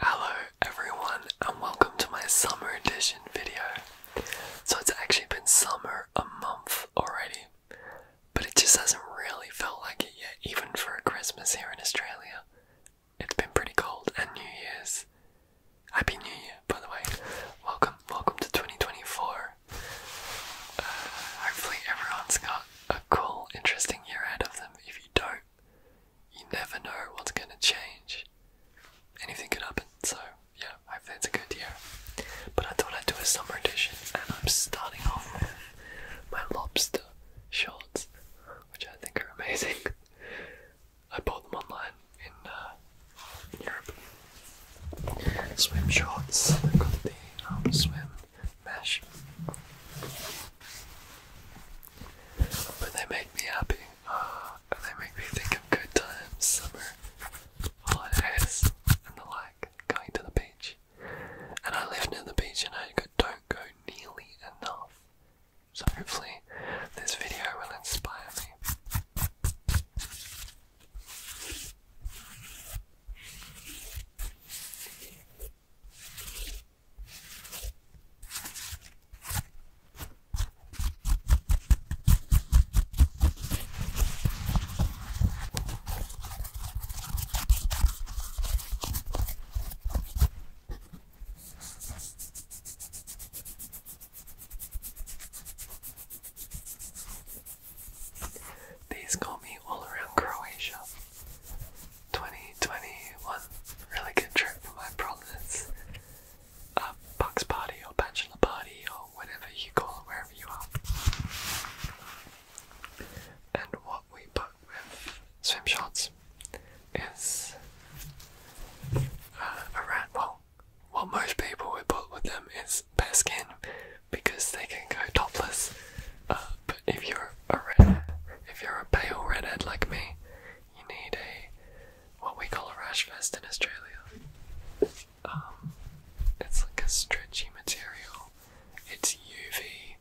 Hello everyone and welcome to my summer edition video. So it's actually been summer a month already, but it just hasn't really felt like it yet, even for Christmas here in Australia. It's been pretty cold and New Year's. Happy New Year, by the way. Welcome, welcome to 2024. Uh, hopefully everyone's got a cool, interesting year ahead of them. If you don't, you never know what's going to change. Anything could happen, so yeah, I hopefully it's a good year. But I thought I'd do a summer edition, and I'm starting off with my lobster shorts, which I think are amazing. I bought them online in uh, Europe. Swim shorts, I've got the um, swim mesh. But they make me happy. they make me think of good times, summer, holidays, and the like, going to the beach. And I live near the beach and I don't go nearly enough. So hopefully this video will inspire me. These got me all around Croatia. 2021. Really good trip for my promise. A box party or bachelor party or whatever you call it, wherever you are. And what we put with swim shots is uh, around, well, what most people would put with them is bare skin because they can go topless. Uh, but if you're a red, if you're a pale redhead like me, you need a what we call a rash vest in Australia. Um, it's like a stretchy material. It's UV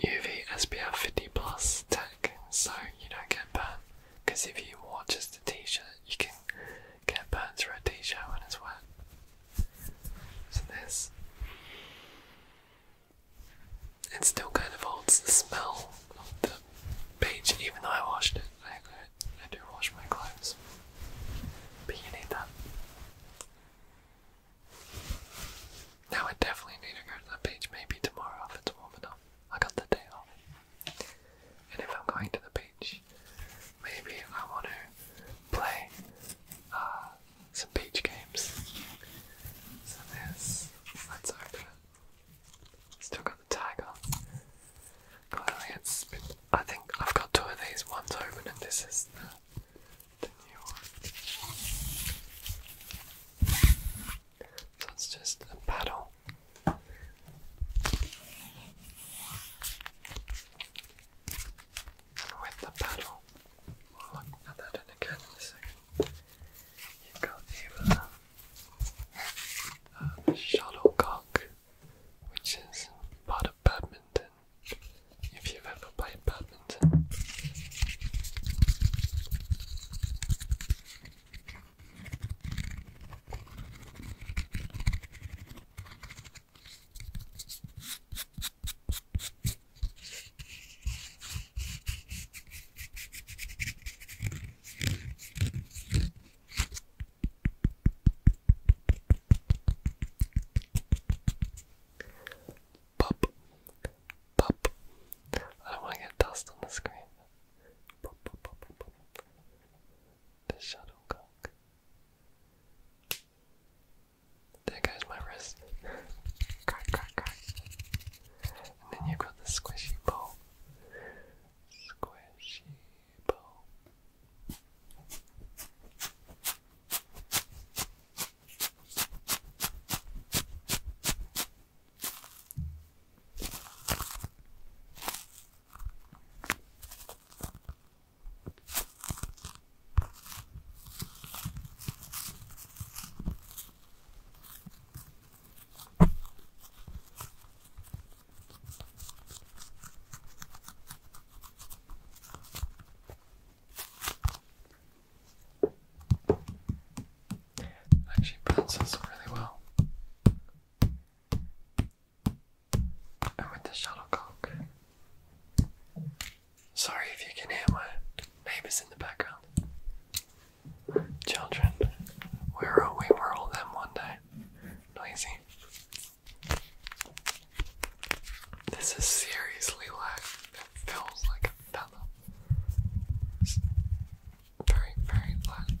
UV SPF 50 plus tech, so you don't get burnt. Because if you wore just a t-shirt, you can get burnt through a t-shirt when it's wet. So this it still kind of holds the smell of the beach, even though I washed it. I, do wash my clothes, but you need that. Now I definitely need to go to the beach. Maybe tomorrow if it's warm enough. I got the day off, and if I'm going to the beach, maybe I want to play uh, some beach games. So there's, let open Still got the tiger. Clearly it's, I think I've got two of these, one's open and this is the, the new one. So it's just a paddle. with the paddle, we'll look at that in again in a second you got the uh, uh, shuttlecock, which is part of badminton. If you've ever played badminton. Pop, pop. I don't want to get dust on the screen. Pop, pop, pop, pop, my wrist. crack, crack, crack. And then you've got the squishy ball. Squishy ball. Actually pencils really well. And with the shuttlecock, Sorry if you can hear my neighbors in the background. Children, where are we? We're them one day. Noisy. This is seriously like, it feels like a feather. very, very light.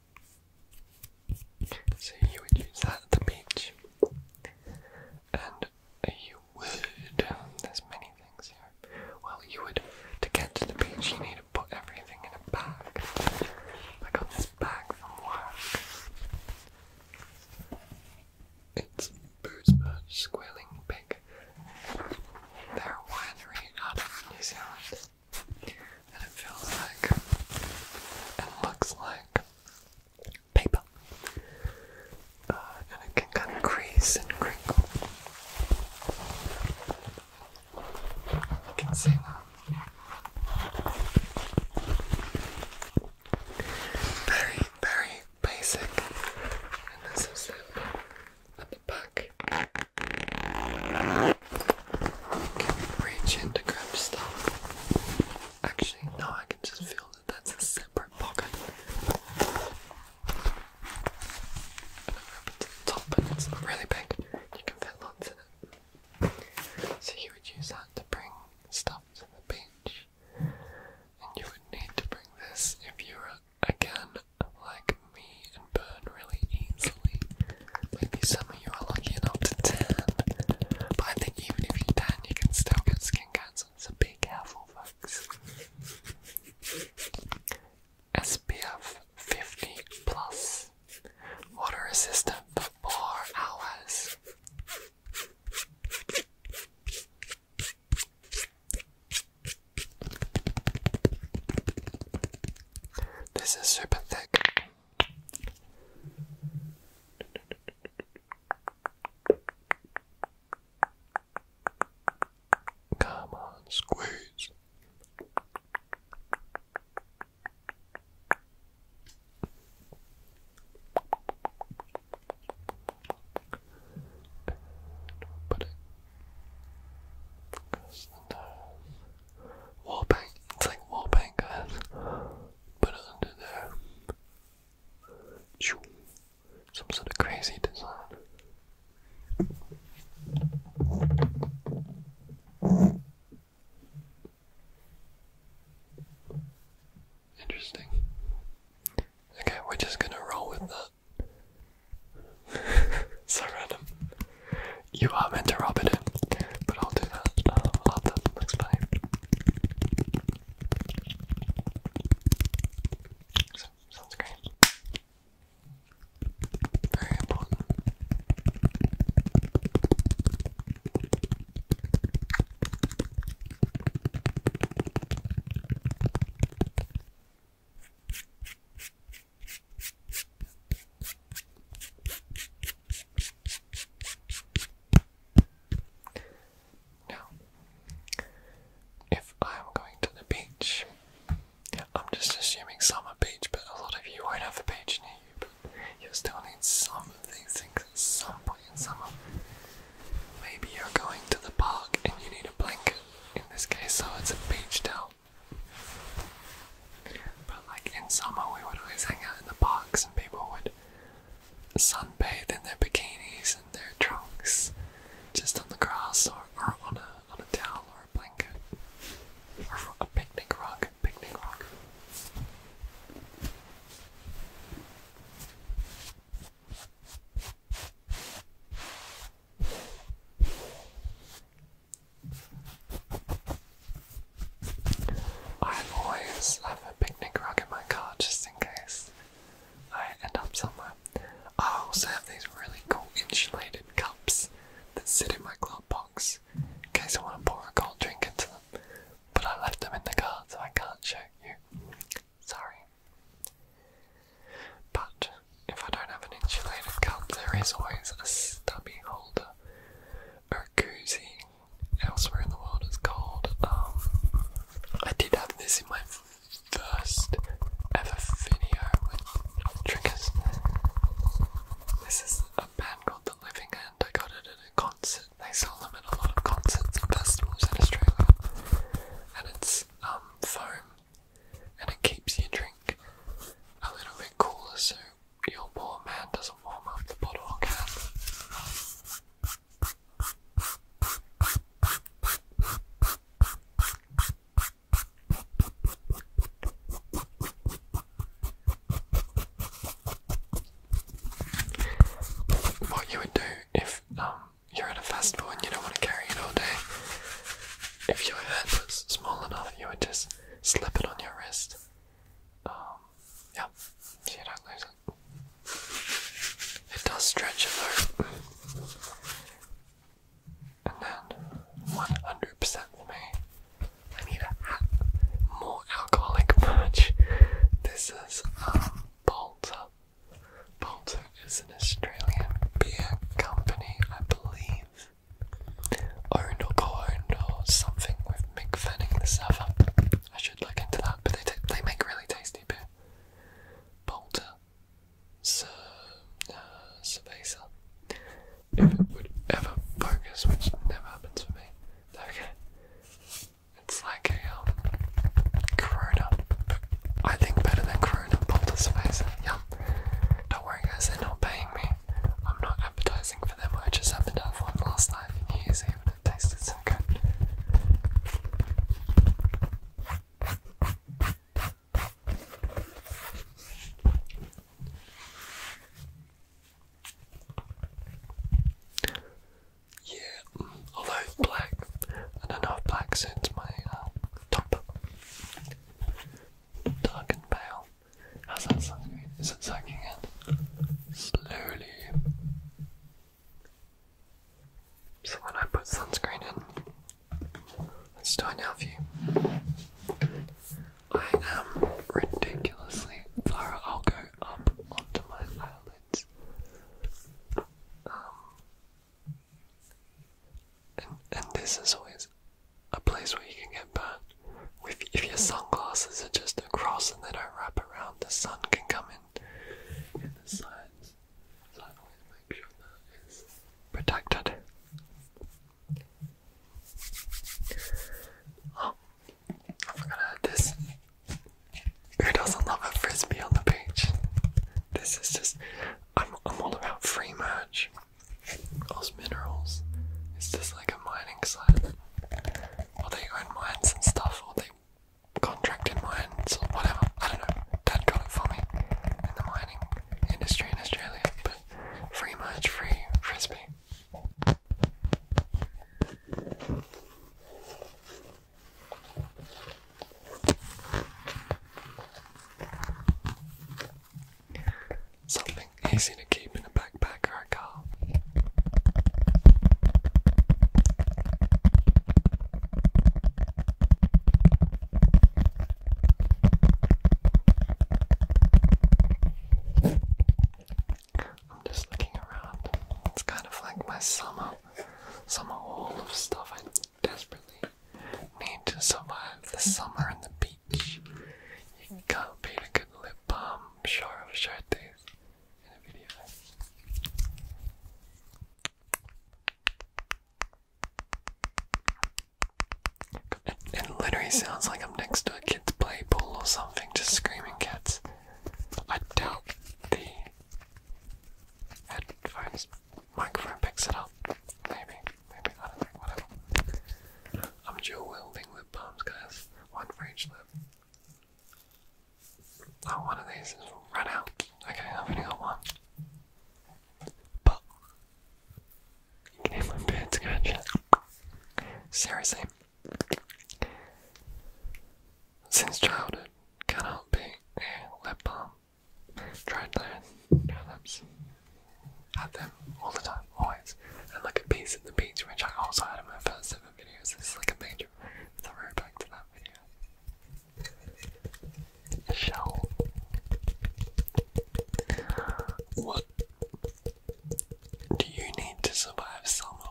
So you would use that at the beach. And you would, there's many things here. Well, you would, to get to the beach, you need to put everything in a bag. I got this bag from work. It's Boozbird Squealing Pig. They're winery and it feels like and looks like paper. Uh, and it can kind of crease and crinkle. You can see that. Very, very basic. And this is it at the back. Can reach into to grab stuff. Actually, no, I can just feel that that's a separate pocket. And open to the top, and it's really big. You can fit lots in it. So you would use that to bring stuff to the beach. And you would need to bring this if you were again like me and burn really easily. Maybe some of you are lucky enough to tan, but I think even if you tan, you can still get skin cancer. So be careful, folks. SPF 50 plus, water resistant for four hours. This is super thick. Come on, squeeze. Put it across the nose wall paint. It's like wall paint, guys. Put under there. Some sort of crazy design. Interesting. Okay, we're just gonna roll with that. so random. You are meant to rub it in, but I'll do that um, after the next play. So, sounds great. Very important. Now, if I'm going to the beach, I'm just assuming summer beach, but a lot of you won't have a beach near you, but you still need some of these things at some point in summer. Maybe you're going to the park and you need a blanket. In this case, so it's a beach towel. But like in summer, we would always hang out in the parks, and people would sunbathe in their bikinis and their trunks, just on the grass or, or on a on a towel or a blanket or a picnic rug. Picnic rug. I always have a picnic rug in my car just in case I end up somewhere. I also have these really cool insulated cups that sit in my glove box in case I want to pour a cold drink into them. But I left them in the car so I can't show you. Sorry. But if I don't have an insulated cup, there is always a stubby holder or a Elsewhere in the world, it's called. Um, I did have this in my first ever video with triggers. This is a band called The Living End. I got it at a concert. They sell them at a lot of concerts and festivals in Australia. And it's um, foam and it keeps your drink a little bit cooler so your poor man doesn't warm up the bottle or can. What you would do if um you're at a festival and you don't want to carry it all day. If your hand was small enough, you would just slip it on your wrist. Um, yeah, so you don't lose it. It does stretch it though. And then, 100% for me, I need a More alcoholic merch. This is a um, Bolter. Bolter is an Australian beer company, I believe owned or co-owned or something with Mick Fanning the server. I should look into that, but they they make really tasty beer. Bolter, Sir, uh, Cerveza. If it would ever focus, which never happens for me. Okay, it's like a um, Corona. I think better than Corona. Bolter, Cerveza, yum. Don't worry guys, they're not paying me. I'm not advertising for them, I just happened to have one last night in New Year's Eve and it so good. Yeah, although it's black, I don't know if black suits my uh, top. Dark and pale. How's that sound? Is it sucking in? Slowly. So when I put sunscreen in, it's us do an view. I am ridiculously far. I'll go up onto my eyelids. Um, and, and this is always a place where you can get burnt. If, your sunglasses are just across and they don't wrap around, the sun can come in in the sides. So I always make sure that is protected. Oh, I forgot this. Who doesn't love a frisbee on the beach? This is just, I'm, I'm all about free merch. Those minerals. It's just like a mining site? Or they own mines and stuff, or they contracted mines or whatever. I don't know. Dad got it for me in the mining industry in Australia. But free merch, free frisbee. Something easy to keep in a backpack or a car. I'm just looking around. It's kind of like my summer, summer haul of stuff I desperately need to survive the summer in the beach. You can copy a good lip balm. Sure, I'll in a video. it literally sounds like I'm next to a kid's play pool or something, just screaming cats. I doubt the headphones microphone picks it up, maybe. Maybe, I not whatever. I'm Joe, wielding lip balms, guys. One for each lip. Oh, one of these has run out. Okay, I've only got one. But, you can hear my beard scratch. Seriously. Since childhood, cannot be a lip balm. Tried that, no lips at them all the time, always. And like a piece in the beach, which I also had in my first seven videos, this is like a major throwback to that video. shell. What do you need to survive summer?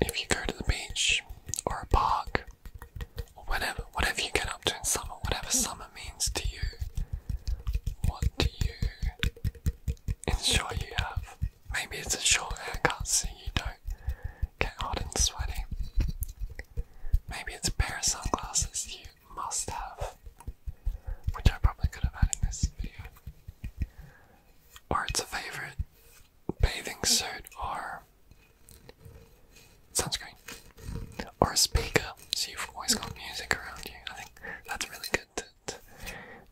If you go to the beach or a park or whatever, whatever you get up to in summer, whatever summer means to you, what do you ensure you have? Maybe it's a short haircut so you don't get hot and sweaty. Maybe it's a pair of sunglasses you must have, which I probably could have had in this video. Or it's a favorite bathing suit or sunscreen. Or a speaker, so you've always got music around you. I think that's really good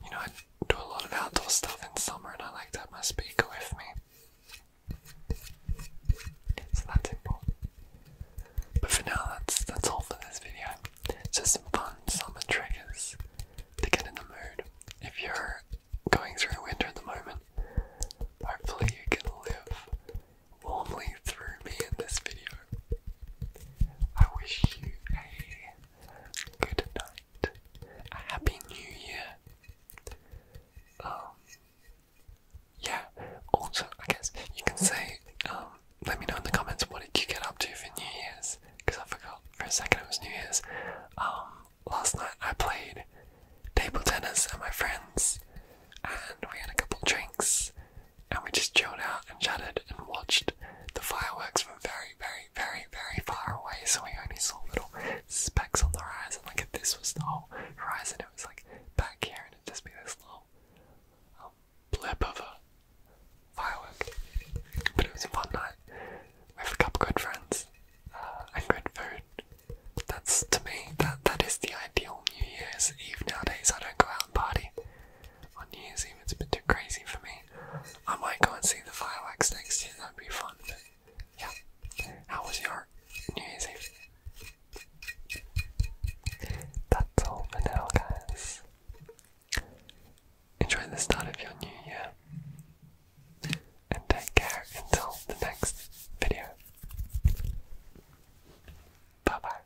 you know I do a lot of outdoor stuff in summer, and I like to have my speaker with me. So that's important. But for now, that's that's all for this video. just some fun summer triggers to get in the mood. If you're going through winter at the moment, hopefully you can live warmly through me in this video. I wish you a good night, a happy new year. Um, yeah, also, I guess you can say, um, let me know in the comments what did you get up to for New Year's, because I forgot for a second it was New Year's. Um, last night I played table tennis at my friend's, and we had a couple drinks, and we just chilled out and chatted and watched the fireworks from very, very, very, very far away. So we only saw little specks on the horizon. Like if this was the whole horizon, it was like back here, and it'd just be this little um, blip of a firework. But it was a fun night with a couple good friends uh, and good food. That's to me that that is the ideal New Year's Eve nowadays. I don't go out and party on New Year's Eve. It's a bit too crazy for me. I might go and see the fireworks next year. That'd be fun. yeah, how was your New Year's Eve? That's all for now, guys. Enjoy the start of your new year. And take care until the next video. Bye bye.